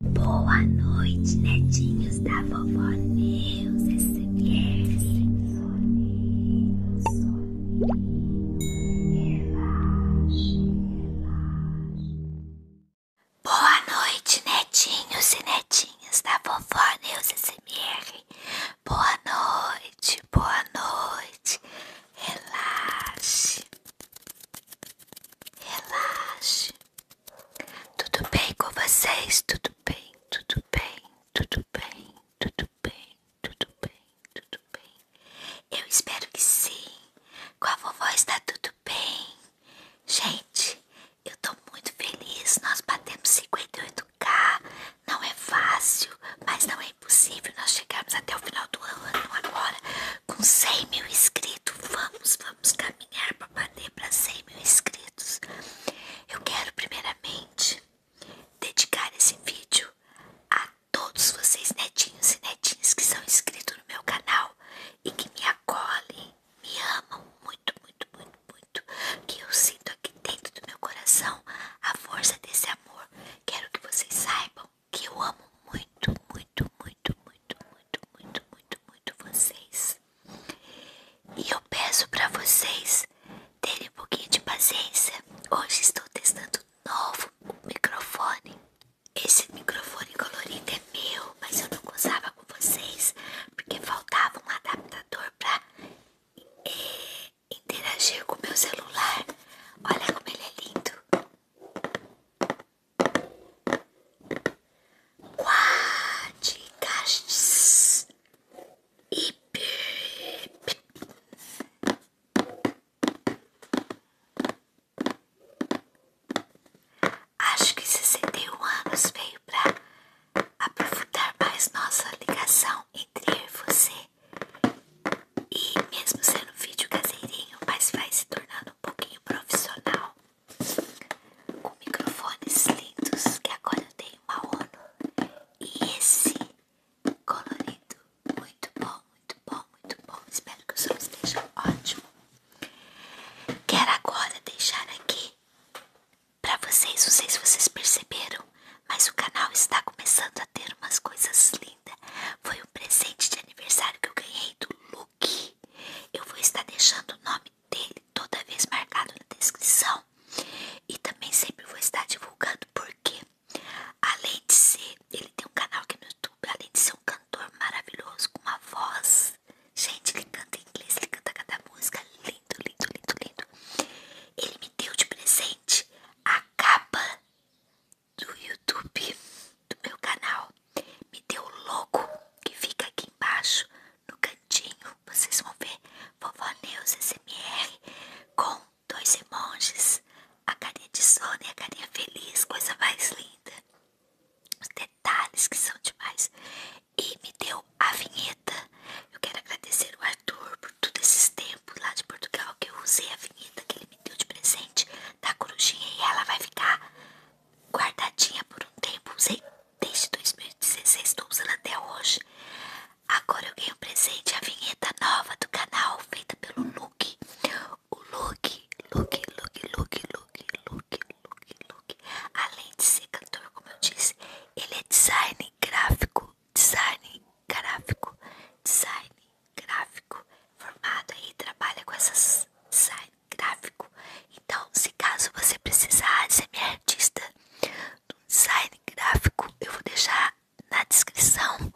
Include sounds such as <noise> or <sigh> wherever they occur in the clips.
Boa noite, netinhos da vovó Neus SMR. Soninho, soninho, relaxe, Boa noite, netinhos e netinhas da vovó Neus SMR. Boa noite, boa noite. Relaxe. Relaxe. Tudo bem com vocês? Tudo bem, tudo bem, tudo bem, tudo bem, tudo bem, tudo bem. Eu espero que sim. Com a vovó está tudo bem. Gente, eu estou muito feliz. Nós batemos 58k. Não é fácil, mas não é impossível nós chegamos até o final do ano agora com 100 mil inscritos. Vamos, vamos caminhar para bater para 100 mil inscritos. Eu quero, primeiramente, dedicar esse vídeo a todos vocês, netinhos e netinhas que são inscritos no meu canal e que me acolhem, me amam muito, muito, muito, muito. Que eu sinto aqui dentro do meu coração a força desse amor. Quero que vocês saibam que eu amo muito, muito, muito muito, muito, muito, muito, muito, muito vocês. E eu peço para vocês terem um pouquinho de paciência. Hoje estou testando um novo microfone. Esse microfone colorido é meu, mas eu não usava com vocês porque faltava um adaptador para é, interagir com o meu celular. Olha como ele é lindo. Quadrigastes e Acho que 61 anos veio para aprofundar mais nossa ligação entre eu e você. E mesmo sendo um vídeo caseirinho, mas vai se tornando um pouquinho profissional com microfones lindos que agora eu tenho uma ONU e esse colorido muito bom, muito bom, muito bom. Espero que o som esteja ótimo. Quero agora deixar aqui para vocês, não sei se vocês perceberam, mas o canal está começando a ter umas coisas lindas. Foi um presente de aniversário que eu ganhei do Lu que? Eu vou estar deixando o nome dele toda vez marcado na descrição e também sempre vou estar divulgando porque além de ser ele tem um canal aqui no YouTube, além de ser um cantor maravilhoso com uma voz, gente, ele canta em inglês, ele canta cada música, lindo, lindo, lindo, lindo. Ele me deu de presente a capa do YouTube do meu canal, me deu o logo que fica aqui embaixo no cantinho. Vocês vão ver Vovó Neus SMR com dois emojis, a carinha de sono e a carinha feliz, coisa mais linda. Os detalhes que são demais. E me deu a vinheta. Eu quero agradecer o Arthur por todos esses tempos lá de Portugal que eu usei a vinheta que ele me deu de presente da corujinha e ela vai ficar guardadinha por um tempo, usei desde 2016, estou usando até hoje. Agora eu ganhei o presente, a vinheta nova do canal, feita pelo Luke. O Luke, Luke, Luke, Luke, Luke, Luke, Luke, Luke. Além de ser cantor, como eu disse, ele é design gráfico, design gráfico, design gráfico formado aí trabalha com essas design gráfico. Então, se caso você precisar ser minha artista do design gráfico, eu vou deixar na descrição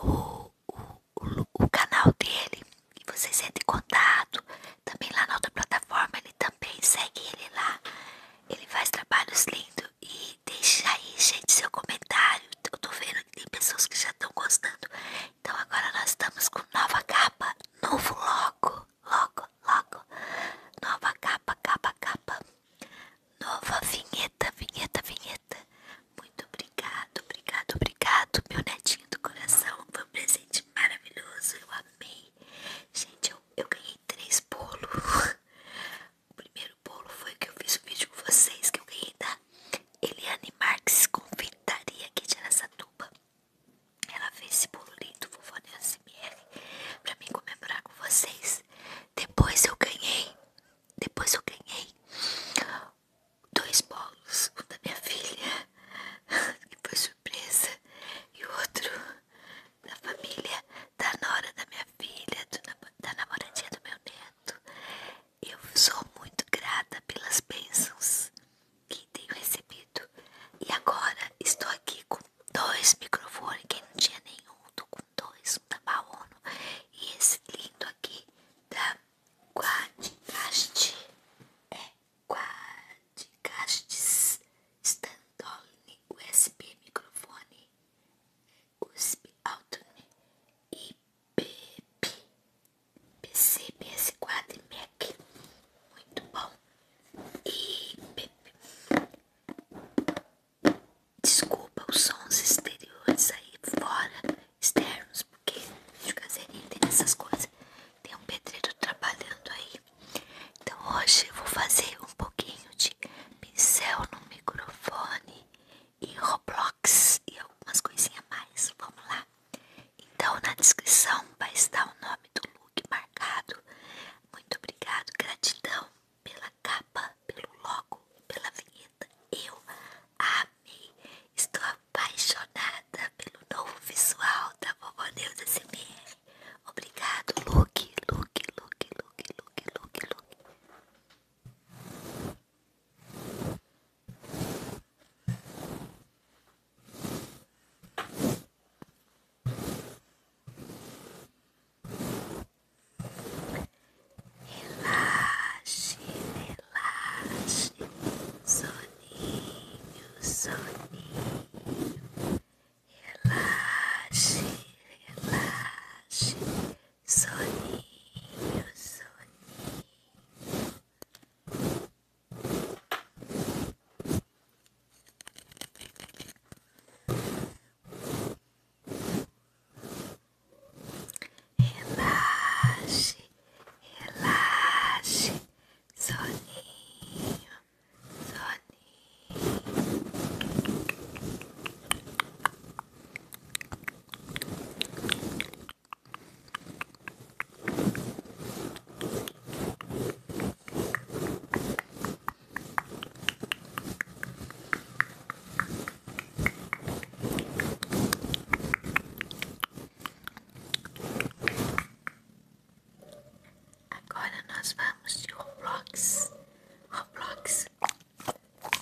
o, o, canal dele e vocês entram em contato. Também lá na outra plataforma, ele também segue ele lá. Ele faz trabalhos lindos e deixa aí, gente, seu comentário. Eu tô vendo que tem pessoas que já estão gostando. Então agora nós estamos com nova capa, novo logo, logo, logo, nova capa, capa, capa, nova vinheta, vinheta, vinheta. Muito obrigado, obrigado, obrigado, meu netinho do coração. Foi um presente maravilhoso, eu amei. Gente, eu, eu ganhei três bolos. <laughs> O primeiro bolo foi que eu fiz o vídeo com vocês, que eu ganhei da Eliane Marques, confeitaria aqui de Aracatuba. Ela fez esse bolo lindo, vou fazer SMR pra mim comemorar com vocês. Depois eu ganhei, depois eu ganhei dois bolos, um da minha filha, <laughs> que foi surpresa, e outro da família, da nora da minha filha, do, da namoradinha do meu neto. Eu sou muito grata pelas bênçãos que tenho recebido. E agora estou aqui com dois microfones, quem não tinha nenhum, tô com dois, um da Baono e esse lindo aqui da Quadcast. É Quadcast Standalone USB microfone. USB Altone e PP, PC, PS4 e Mac. Muito bom. E PP. Desculpa os sons exteriores aí fora, externos, porque de caseirinho tem essas coisas. Tem um pedreiro trabalhando aí. Então hoje eu vou fazer um pouquinho de pincel no microfone e Roblox e algumas coisinhas mais. Vamos lá. Então na descrição vai estar o nome do look marcado. Muito obrigado, gratidão pela capa, pelo logo, pela vinheta. Eu amei. Estou apaixonada pelo novo visual da Vovó Deus SMR. Obrigado, look, look, look, look, look, look, look. Relaxe, relaxe, soninho, soninho. Relaxe, relaxe, soninho, soninho. Relaxe, relaxe, soninho, soninho. Agora nós vamos de Roblox. Roblox.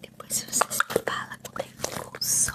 Depois você se fala com o pulso.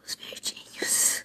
Os verdinhos.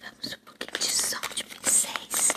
Vamos um pouquinho de som de pincéis.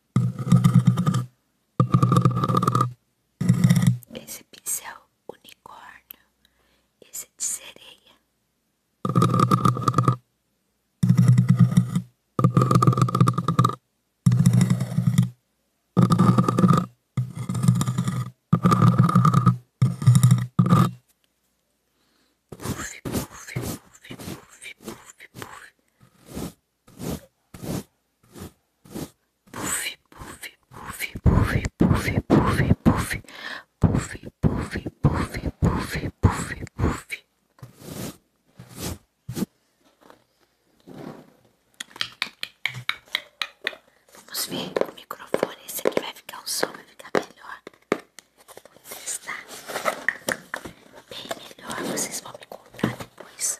Esse pincel unicórnio, esse é de sereia. Puff, puff, puff, puff, puff, puff. Puff, puff, puff, puff, puff, puff, puff, puff, puff, puff, puff, puff, puff. Vamos ver o microfone. Esse aqui vai ficar um som, vai ficar melhor. Vou testar bem melhor, vocês vão me contar depois.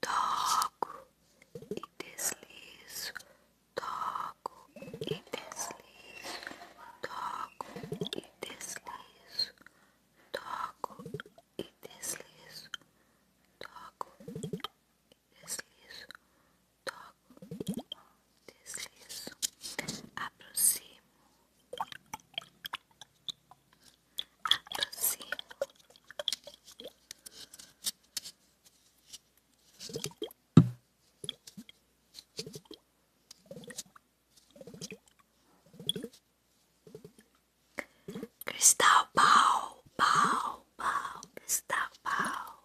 Toco e deslizo, toco e deslizo, toco e deslizo, toco e deslizo, toco e deslizo, toco e deslizo, aproximo você. Cristal pau, pau, pau, cristal pau.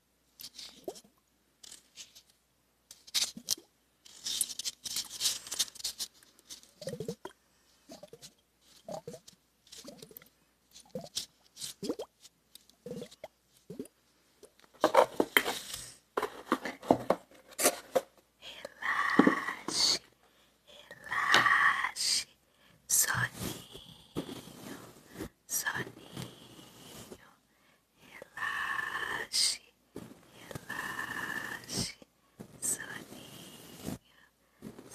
Relaxe, relaxe, soninho, soninho, relaxe, relaxe, soninho,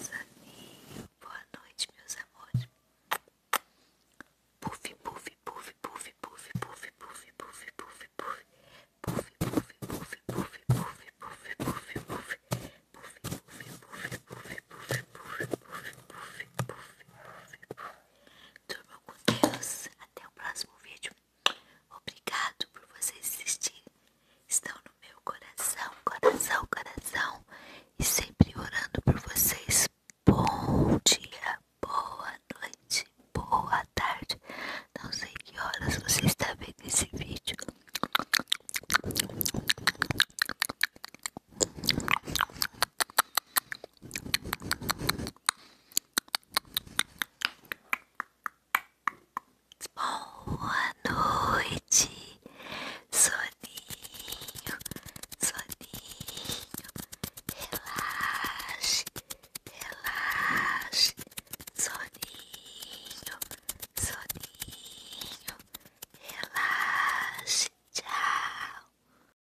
soninho. Boa noite, meus amores. Puff, puff, puff, puff, puff, puff, puff, puff, puff, puff. Puff, puff, puff, puff, puff, puff, puff, puff. Puff, puff, puff, puff, puff, puff, puff, puff, puff. Durmam com Deus. Até o próximo vídeo. Obrigado por vocês assistirem. Estão no meu coração, coração, coração. E sempre orando por vocês. Bom dia, boa noite, boa tarde. Não sei que horas você está vendo esse vídeo. Boa noite, soninho, soninho, relaxe, relaxe, soninho, soninho, relaxe, tchau.